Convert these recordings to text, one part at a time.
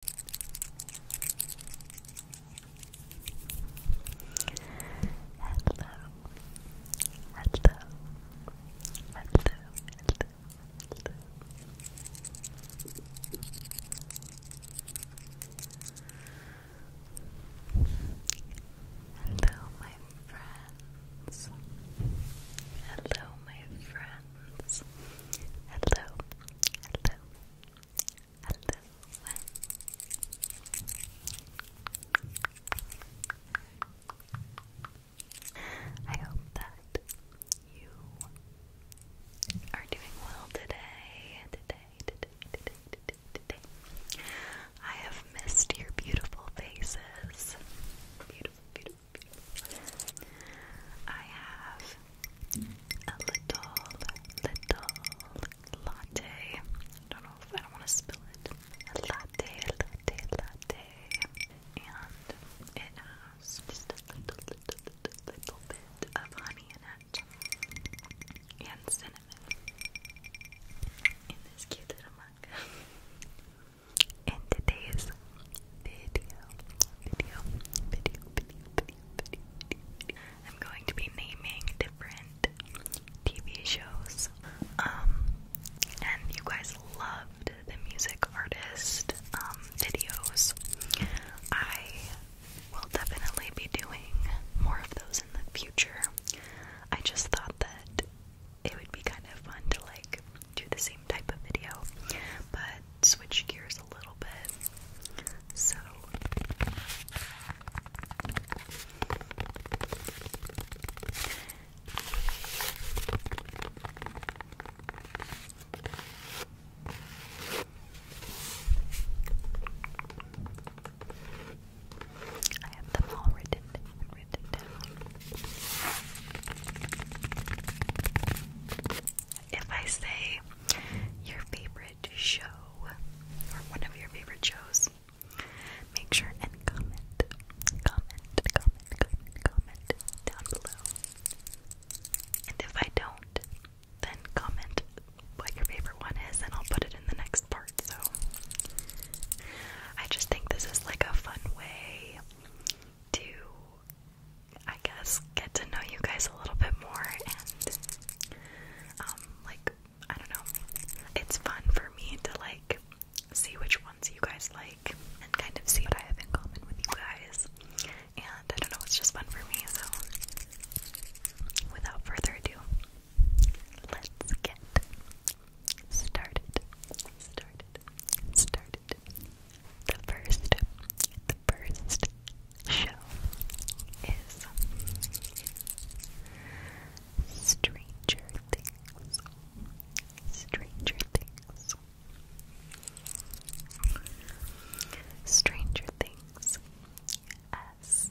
hello, hello, hello. Hello, my friends. Hello, my friends. Hello, hello, a I hope that you are doing well today, today, today, today, today, today. I have missed your beautiful faces. Beautiful, beautiful, beautiful. I have a little, little latte. I don't know if I don't want to spill it. A latte, latte, latte. And it has just a little, little, little, little bit of honey in it. And cinnamon. In this cute little mug. And today's video, video, video, video, video, video, I'm going to be naming different TV shows. Um, and you guys loved the music artist um, videos. I will definitely be doing more of those in the future. I just thought that it would be kind of fun to like do the same type of video, but switch gears a little bit. So I have them all written down, written down if I say your favorite show or one of your favorite shows, make sure and comment, comment, comment, comment, comment down below. And if I don't, then comment what your favorite one is, and I'll put it in the next part. So I just think this is like a fun way to I guess, get to know you guys a little bit more and, um, like, I don't know. It's fun for me to, like, see which ones you guys like and kind of see what I have in common with you guys. And I don't know, it's just fun for me, so without further ado, let's get Started started the first the first show is Stranger Things. Stranger Things. Stranger Things S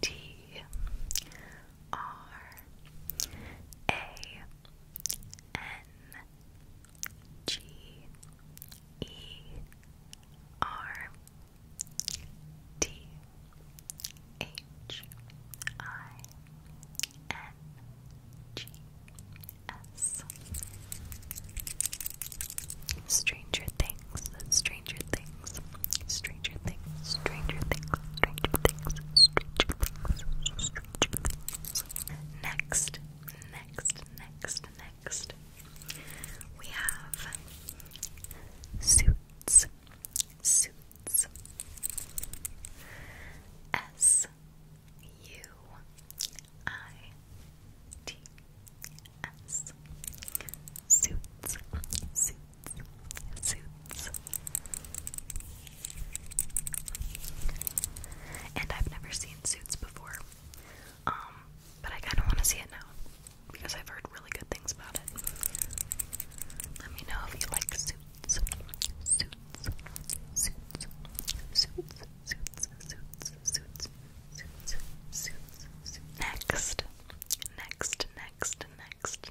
T R A N G E R T H I N G S Stranger Things, Stranger Things, Stranger Things, Stranger Things, Stranger Things, Stranger Things, Stranger Things, Stranger Things, Next, next, next, next, we have suits, suits, S U I T S, suits, suits, suits. And I've never seen Suits before. Um, but I kinda wanna see it now. Because I've heard really good things about it. Let me know if you like suits. Suits. Suits. Suits. Suits. Suits. Suits. Suits. Suits. Suits. Next. Next. Next. Next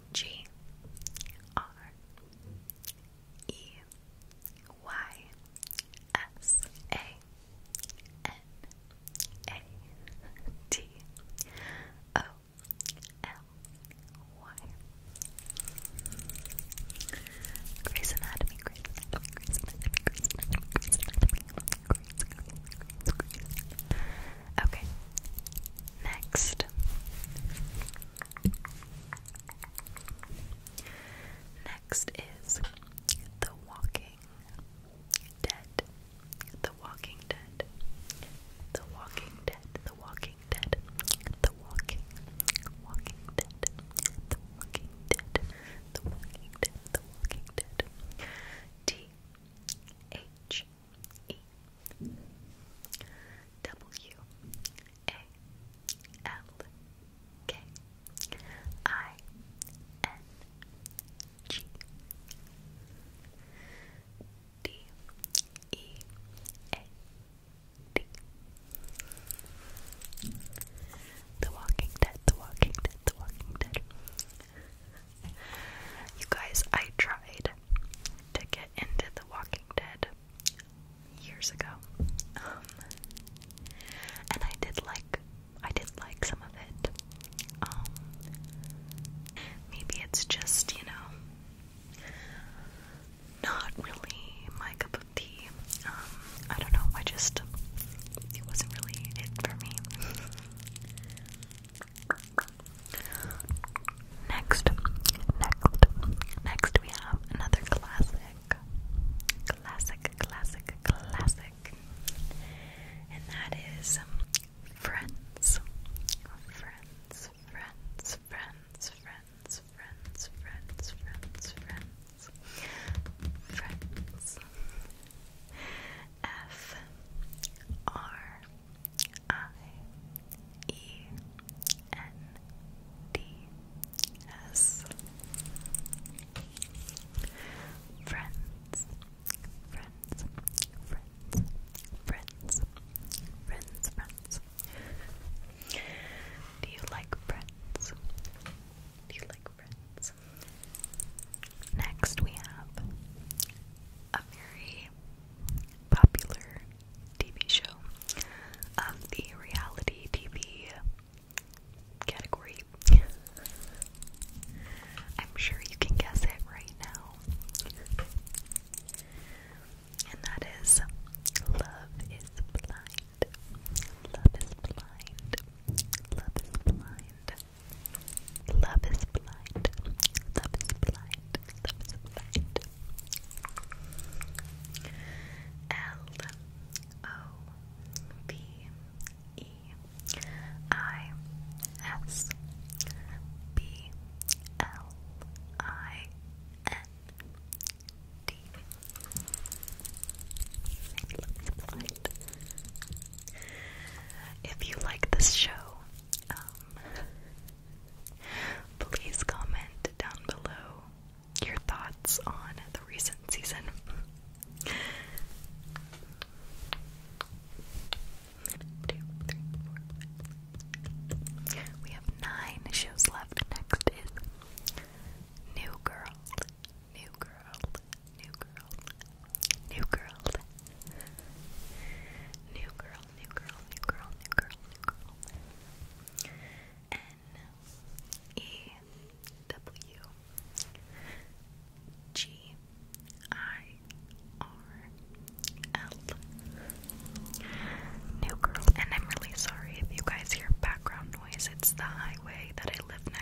G R E Y S A N A T O L Y. Grey's Anatomy, Grey's Anatomy, Grey's Anatomy, Grey's Anatomy, Grey's Anatomy, Grey's Anatomy, Grey's Anatomy, Grey's Anatomy. Okay. Next. Next is The Walking Dead. The Walking Dead. The Walking Dead. The Walking Dead. The Walking Walking Dead. The Walking Dead. The Walking Dead. The Walking Dead. T H E W A L K I N G D E A D The Walking Dead, The Walking Dead, The Walking Dead you guys, I tried to get into The Walking Dead years ago. Um, and I did like I did like some of it. Um, maybe it's just, you know, not really my cup of tea. Um, I don't know, I just it wasn't really it for me. Next, next, next we have another classic. Classic, classic, classic. And that is Friends. Friends, friends, friends, friends, friends, friends, friends, friends. Friends. F R I E N D S. Friends, friends, friends, friends, friends, friends. Do you like friends? Do you like friends? Next we have a very popular TV show of um, the reality TV category. I'm sure you can guess it right now. And that is Love is Blind. Love is Blind. Love is Blind. Love is blind. Love is blind. Love is blind. L O V E I S B L I N D. Love is blind. If you like this show, um, please comment down below your thoughts on the recent season. We have nine shows left. Next is New Girl. New Girl new girl, new girl, new girl, new girl, new girl, new girl, N E W G I R L. New girl, and I'm really sorry if you guys hear background noise. It's the highway that I live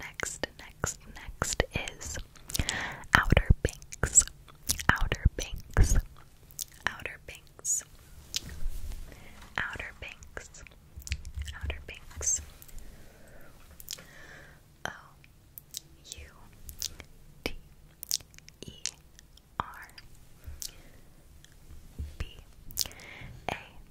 next, next, next is Outer Banks. Outer Banks. Outer Banks. Outer Banks. Outer Banks. O U T E R B A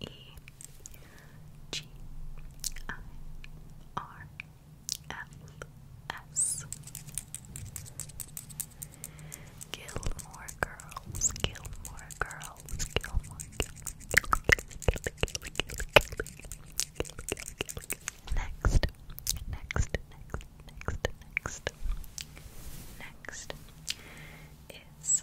E G I R L S Gilmore Girls, Gilmore Girls, Gilmore Next, next, next, next, next, next is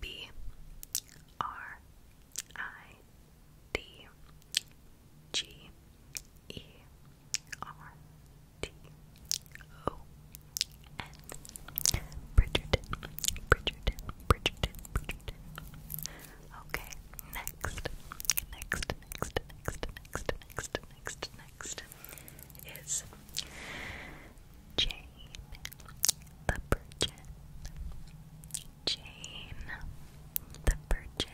B R I D G E R T O N Bridgerton, Bridgerton, Bridgerton, Bridgerton. Okay, next, next, next, next, next, next, next, next is Jane the Virgin. Jane the Virgin.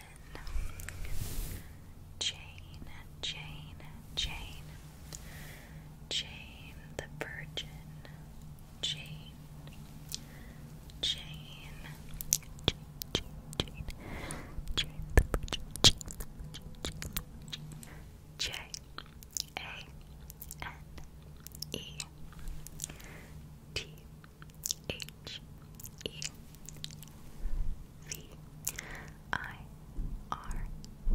Jane, Jane, Jane. Jane the Virgin. Jane. Jane. Jane, Jane, Jane. the Virgin. Jane. A N E T H E V I R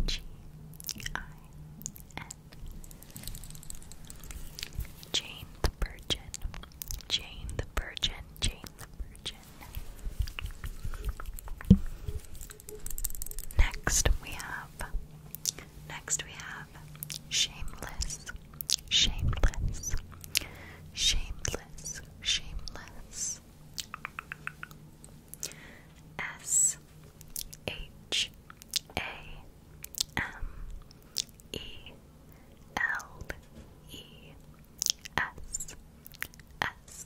G I N Jane the Virgin Jane the Virgin Jane the Virgin Next we have Next we have shameless, shameless, shameless, shameless. S H A M E L E S S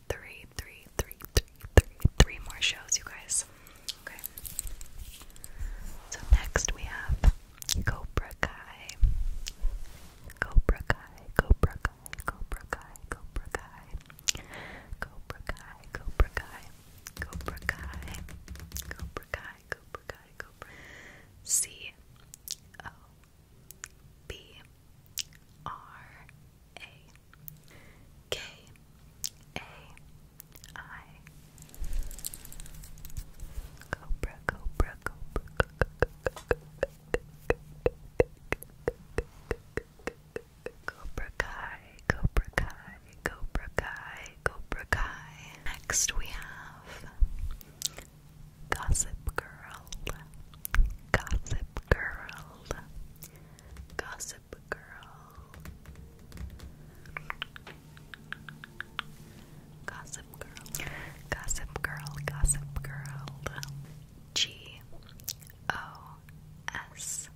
three, three, three, three, three, three more shows, you guys. Okay. So next we have Cobra Kai. Cobra Kai, Cobra Kai, Cobra Kai, Cobra Kai. Cobra Kai, Cobra Kai, Cobra Kai, Cobra Kai, Cobra Kai, Cobra C O B R A K A I Cobra Cobra Cobra Cobra Kai Cobra Kai Cobra Kai Cobra Kai Next we have Gossip Girl Gossip Girl Gossip Girl. Gossip Girl. Gossip Girl. Gossip Girl. G O S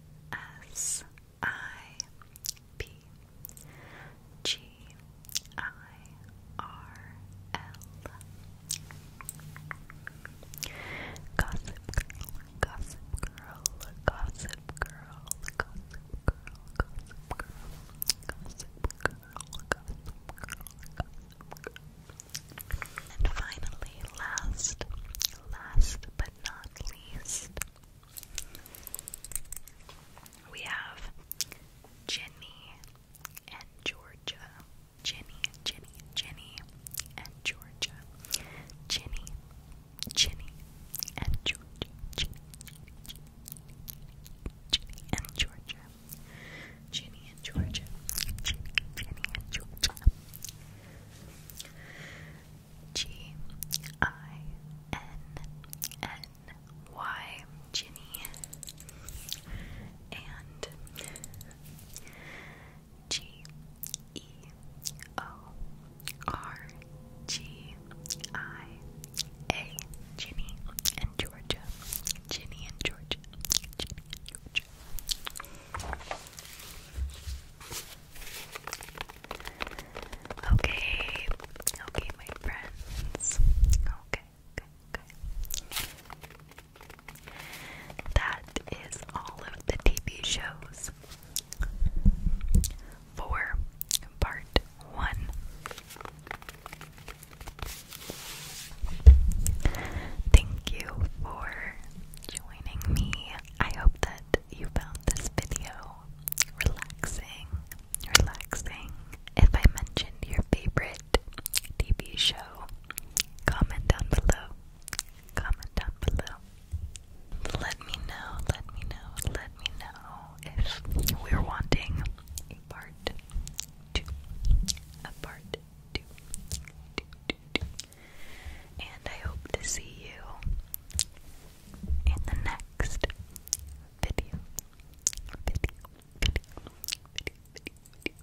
S I P. G I R L Gossip girl, gossip girl, gossip girl, gossip girl, gossip girl, gossip girl, gossip girl, gossip girl. And finally, last, last but not least, we have Jenny and Georgia. Jenny, Jenny, Jenny, and Georgia. Jenny, Jenny, and Georgia. Jenny, Jenny and Georgia. Jenny and Georgia. Jenny, and Georgia. G I N N Y Ginny and G E O R G I A Ginny and Georgia. Ginny and Georgia. Ginny Georgia. Okay, okay, my friends. Okay, okay, okay. That is all of the TV shows for part one. Thank you for joining me. I hope that you found this video relaxing. Relaxing. If I mentioned your favorite favorite show? Comment down below. Comment down below. Let me know, let me know, let me know if we're wanting a part two. A part two. two, And I hope to see you in the next Video, video, video, video, video, video.